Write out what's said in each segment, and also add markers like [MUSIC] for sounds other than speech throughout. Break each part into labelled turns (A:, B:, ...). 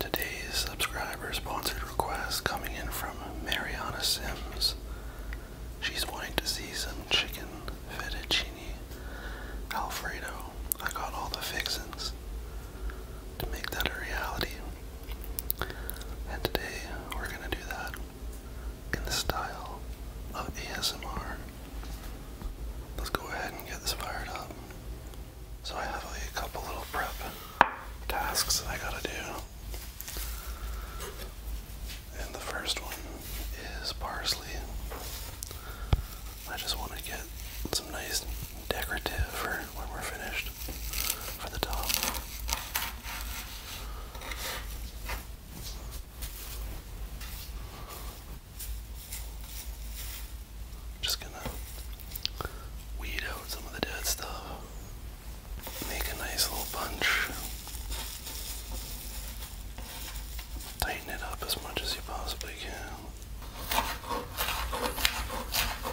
A: Today's subscriber sponsored request coming in from Mariana Sims. She's wanting to see some chicken fettuccine alfredo. I got all the fixings to make that a reality. And today we're going to do that in the style of ASMR. Let's go ahead and get this fired up. So I have a couple little prep tasks that I gotta do. And the first one is parsley. I just want to get some nice decorative for when we're finished for the top. Just gonna weed out some of the dead stuff, make a nice little bunch, tighten it up as much as you possibly can.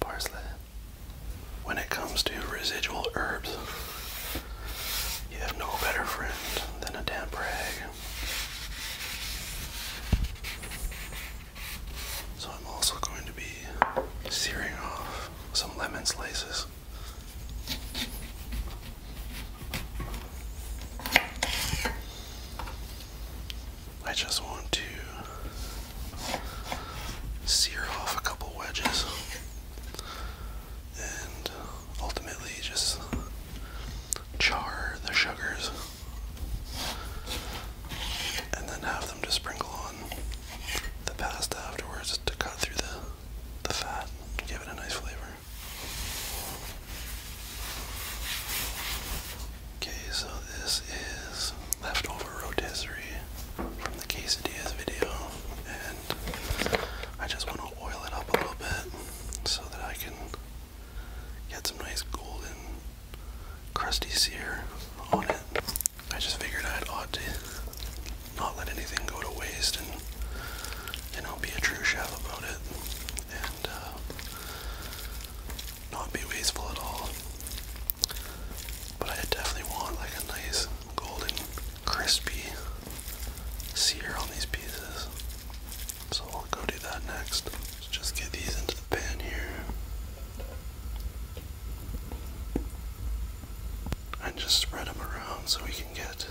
A: parsley. When it comes to residual herbs, you have no better friend than a damp rag. So I'm also going to be searing off some lemon slices. I just want to sear off a couple wedges and ultimately just char the sugars and then have them to sprinkle on the pasta afterwards to cut through the the fat and give it a nice flavor. Okay, so this is leftover rotisserie from the quesadillas video, and I just want to oil it up a little bit so that I can get some nice golden crusty sear on it. I just figured I'd ought to not let anything go to waste and you know be a true chef about it uh, not be wasteful at all. But I definitely want like a nice golden crispy sear on these pieces. So I'll go do that next. just get these into the pan here. And just spread them around so we can get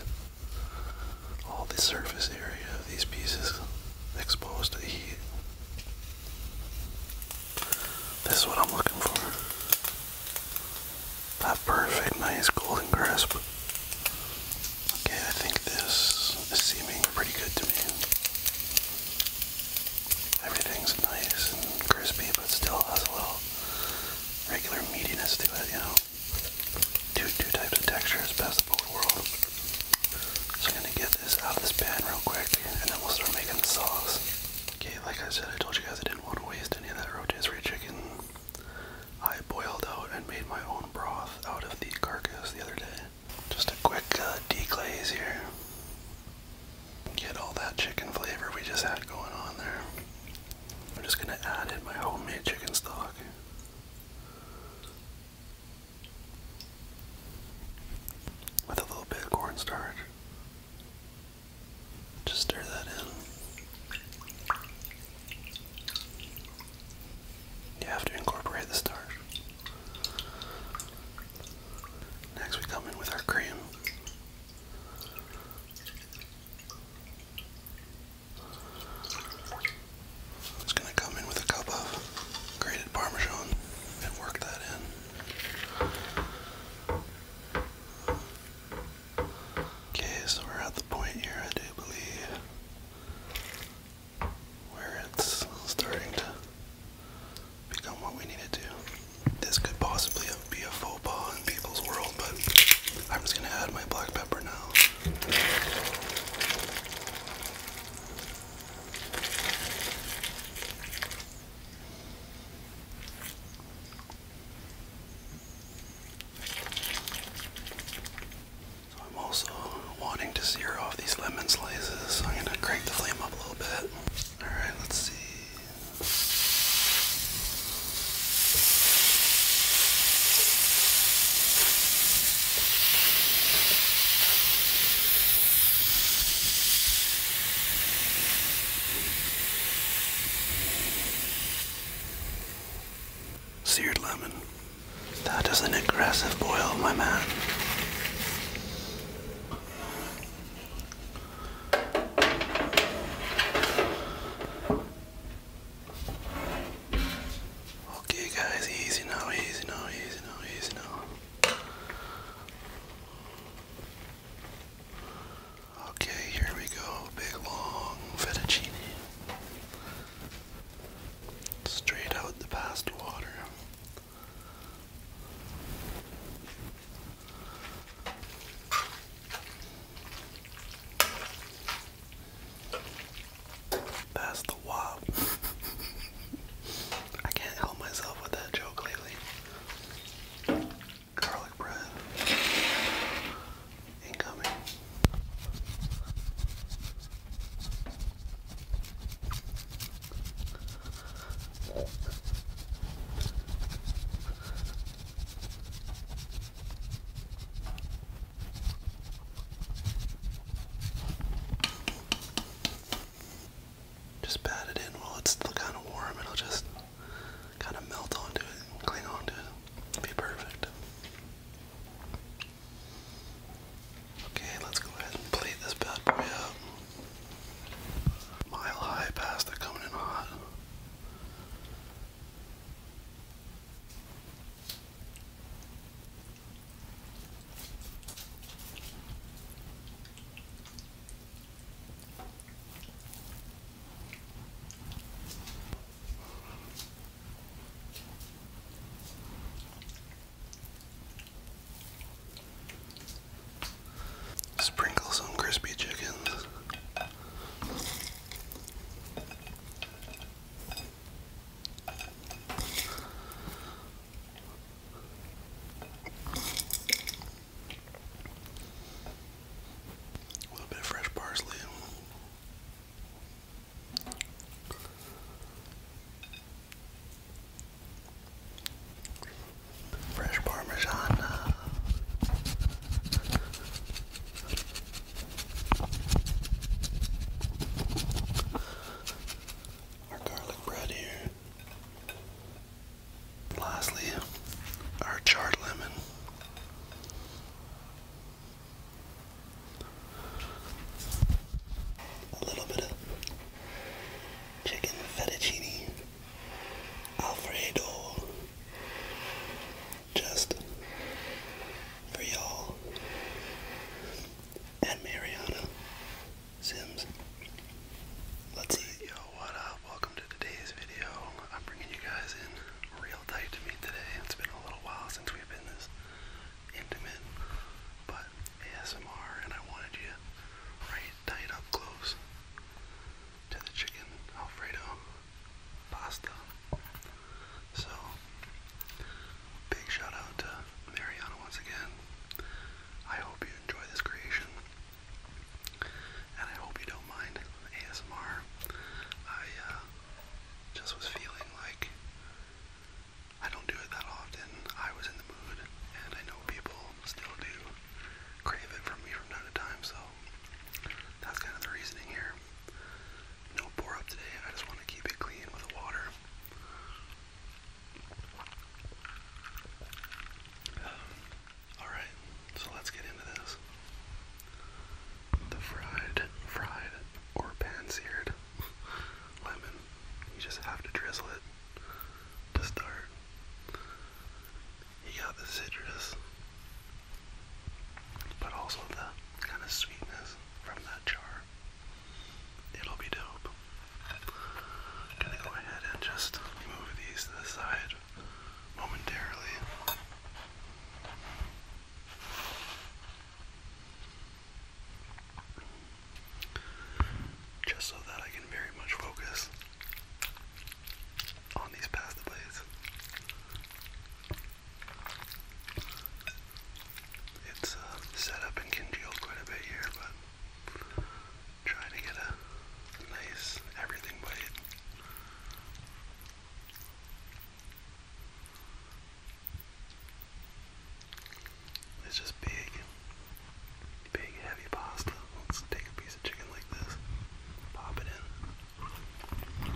A: all the surface area of these pieces exposed to the heat. This is what I'm looking for. That perfect, nice golden crisp. Okay, I think this is seeming pretty good to me. Everything's nice and crispy, but still has a little regular meatiness to it, you know? Two, two types of textures, best of both worlds. So I'm gonna get this out of this pan real quick, and then we'll start making the sauce. Okay, like I said, I told you guys I didn't want to waste any of that rotisserie chicken. I boiled out and made my own broth out of the carcass the other day. Just a quick uh, deglaze here. Get all that chicken flavor we just had going on there. I'm just gonna add in my homemade chicken stock with a little bit of cornstarch. Just stir that in. You have to incorporate the starch. Next, we come in with our cream. I'm just gonna come in with a cup of grated Parmesan and work that in. Okay, so we're at the point here, I do believe, where it's starting to become what we need to This could possibly be a faux pas in people's world, but I'm just gonna add my black pepper now. So I'm also wanting to sear off these lemon slices, so I'm gonna crank the flame up a little bit. Alright, let's see. Seared lemon. That is an aggressive boil, my man. Okay guys, easy now, easy now, easy now, easy now. Okay, here we go. Big long fettuccine. Straight out the past water. That's the wop. [LAUGHS] I can't help myself with that joke lately. Garlic bread. Incoming. Just pat it in while it's still kind of warm. It'll just kind of melt onto it and cling onto it. be perfect. Okay, let's go ahead and plate this bad boy up. Mile high pasta coming in hot. Sprinkle some crispy chicken. A little bit of fresh parsley. Fresh parmesan our garlic bread here. Lastly, our charred lemon. A little bit of chicken fettuccine Alfredo. Just for y'all and Mariana Sims. Let's see. Yo, what up? Welcome to today's video. I'm bringing you guys in real tight to me today. It's been a little while since we've been this intimate, but ASMR, and I wanted you right tight up close to the chicken Alfredo pasta. So Big shout out to Mariana once again. I hope you enjoy this creation. And I hope you don't mind ASMR. I uh, just was feeling like I don't do it that often. I was in the mood, and I know people still do crave it from me from time to time, so that's kind of the reasoning here. No bore up today, I just want to keep it clean with water. [SIGHS] Alright, so let's get into this. The fried, fried, or pan seared [LAUGHS] lemon. You just have to drizzle it to start. You got the citrus, but also the kind of sweetness from that char it'll be dope. gonna go ahead and just move these to the side momentarily. Just so that I can very much focus on these pasta blades it's uh, set up and congealed quite a bit here, but trying to get a nice everything bite. It's just big, big heavy pasta. Let's take a piece of chicken like this, pop it in.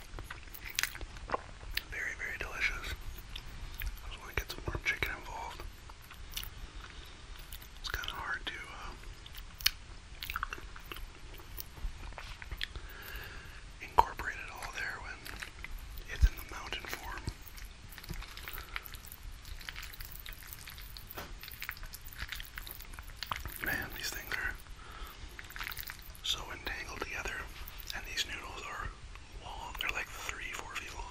A: Very, very delicious. I just want to get some more chicken involved. It's kind of hard to uh, incorporate it all there when it's in the mountain form. Man, these things are so entangled together, and these noodles are long. They're like three, four feet long.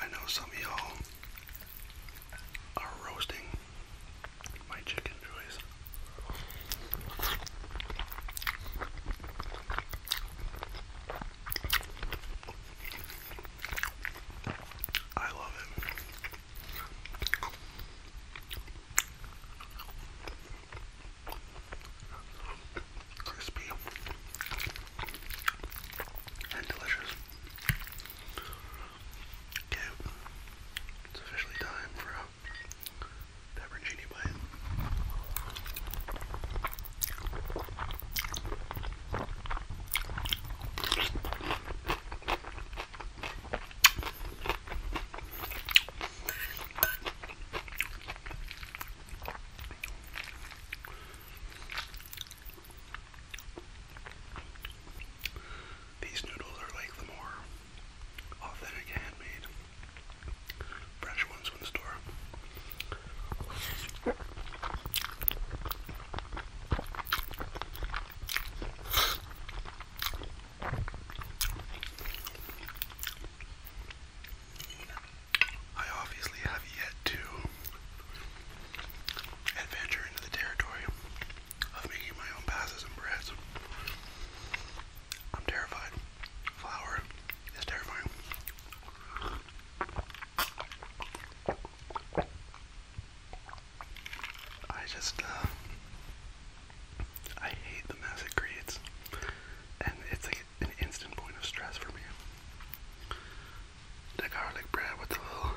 A: I know some of y'all are roasting my chicken joys. I love it. Crispy and delicious. Okay, it's officially time for a pepperoncini bite. These noodles are like the more authentic handmade fresh ones from the store. I obviously have yet to adventure into the territory of making my own passes and breads. I'm terrified. Flour is terrifying. I just, uh, I hate the mess it creates, and it's like an instant point of stress for me. The garlic bread with the little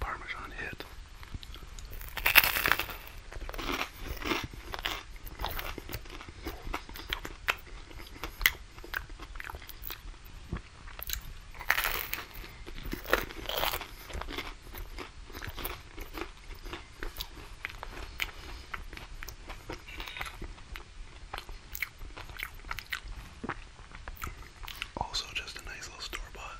A: Parmesan hit. Also, just a nice little store bought.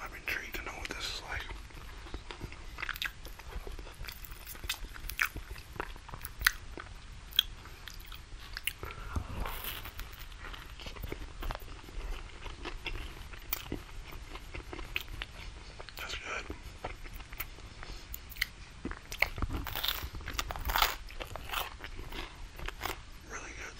A: I'm intrigued to know what this is like. That's good. Really good.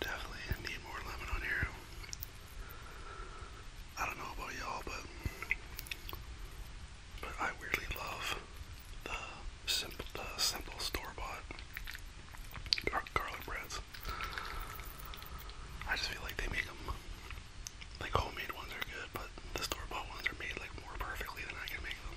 A: Definitely need more lemon on here. I don't know about y'all, but but I weirdly love the simple, the simple store-bought garlic breads. I just feel like they make them like homemade ones are good, but the store bought ones are made like more perfectly than I can make them.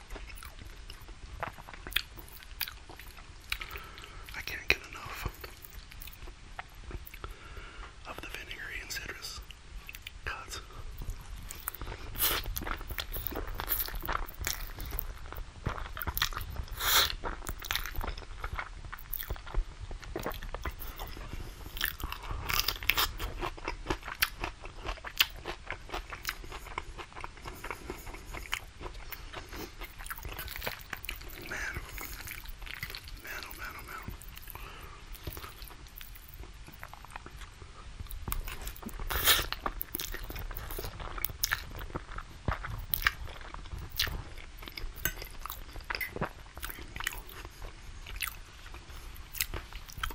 A: I can't get enough of the vinegary and citrus cuts. Man, man, oh man, oh man.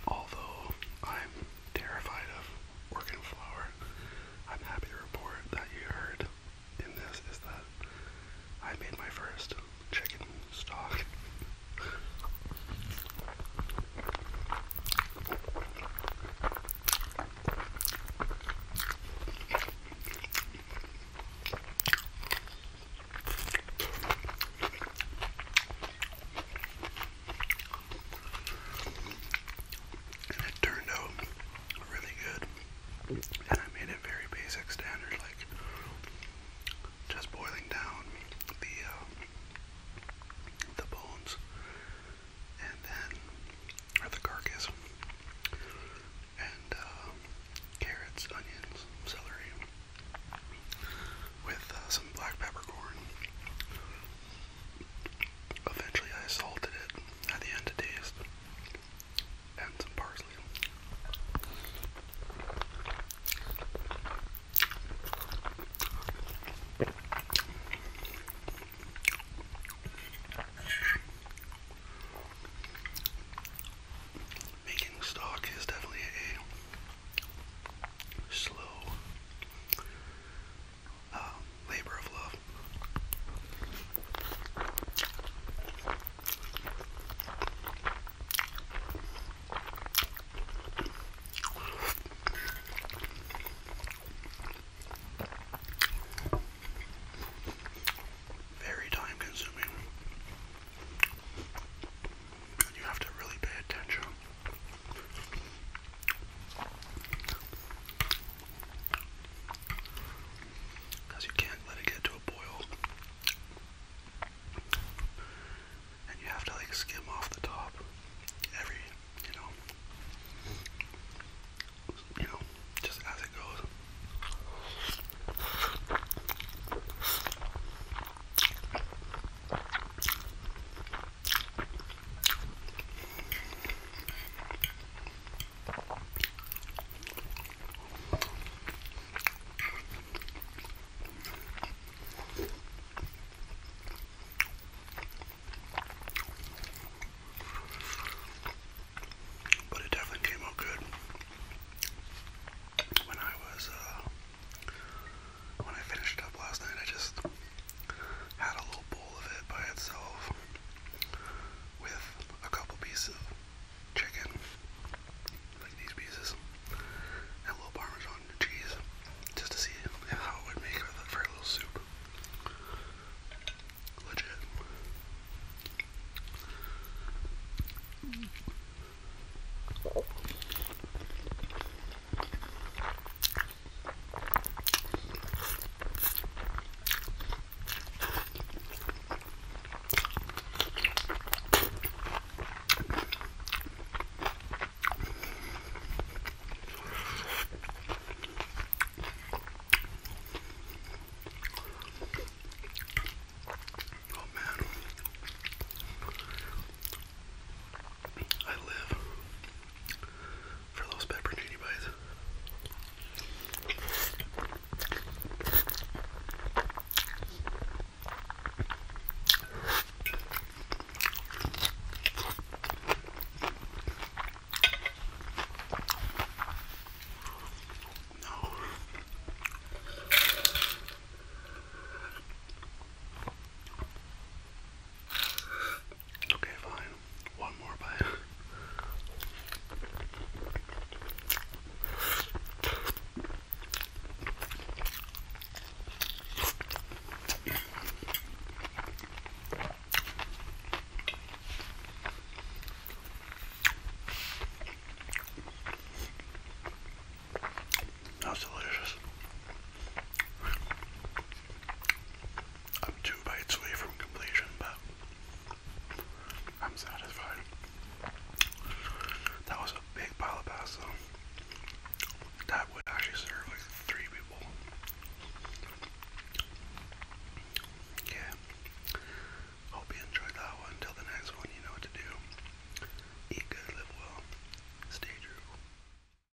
A: Although I'm terrified of organ flour. I'm happy to report that you heard in this is that I made my first chicken stock. And it turned out really good. And I made it very basic standard, like just boiling down the uh, the bones and then the carcass and uh, carrots, onions, celery with uh, some black peppercorn Eventually, I salted it at the end to taste, and some parsley. Making stock is definitely a slow uh, labor of love. Very time consuming. you have to really pay attention because you can't let it get to a boil. And you have to like skim off the top every, you know, you know, just as it goes. But it definitely came out good. When I was, uh, when I finished up last night, I just had a little bowl of it by itself with a couple pieces of chicken, like these pieces, and a little parmesan cheese, just to see how it would make for a little soup. Legit. Mm. Oh man, I live for those pepperoni bites. No. Okay, fine. One more bite. That's delicious. I'm two bites away from completion, but I'm satisfied. That was a big pile of pasta. That would actually serve like three people. Yeah. Hope you enjoyed that one. Till the next one, you know what to do. Eat good, live well, stay true.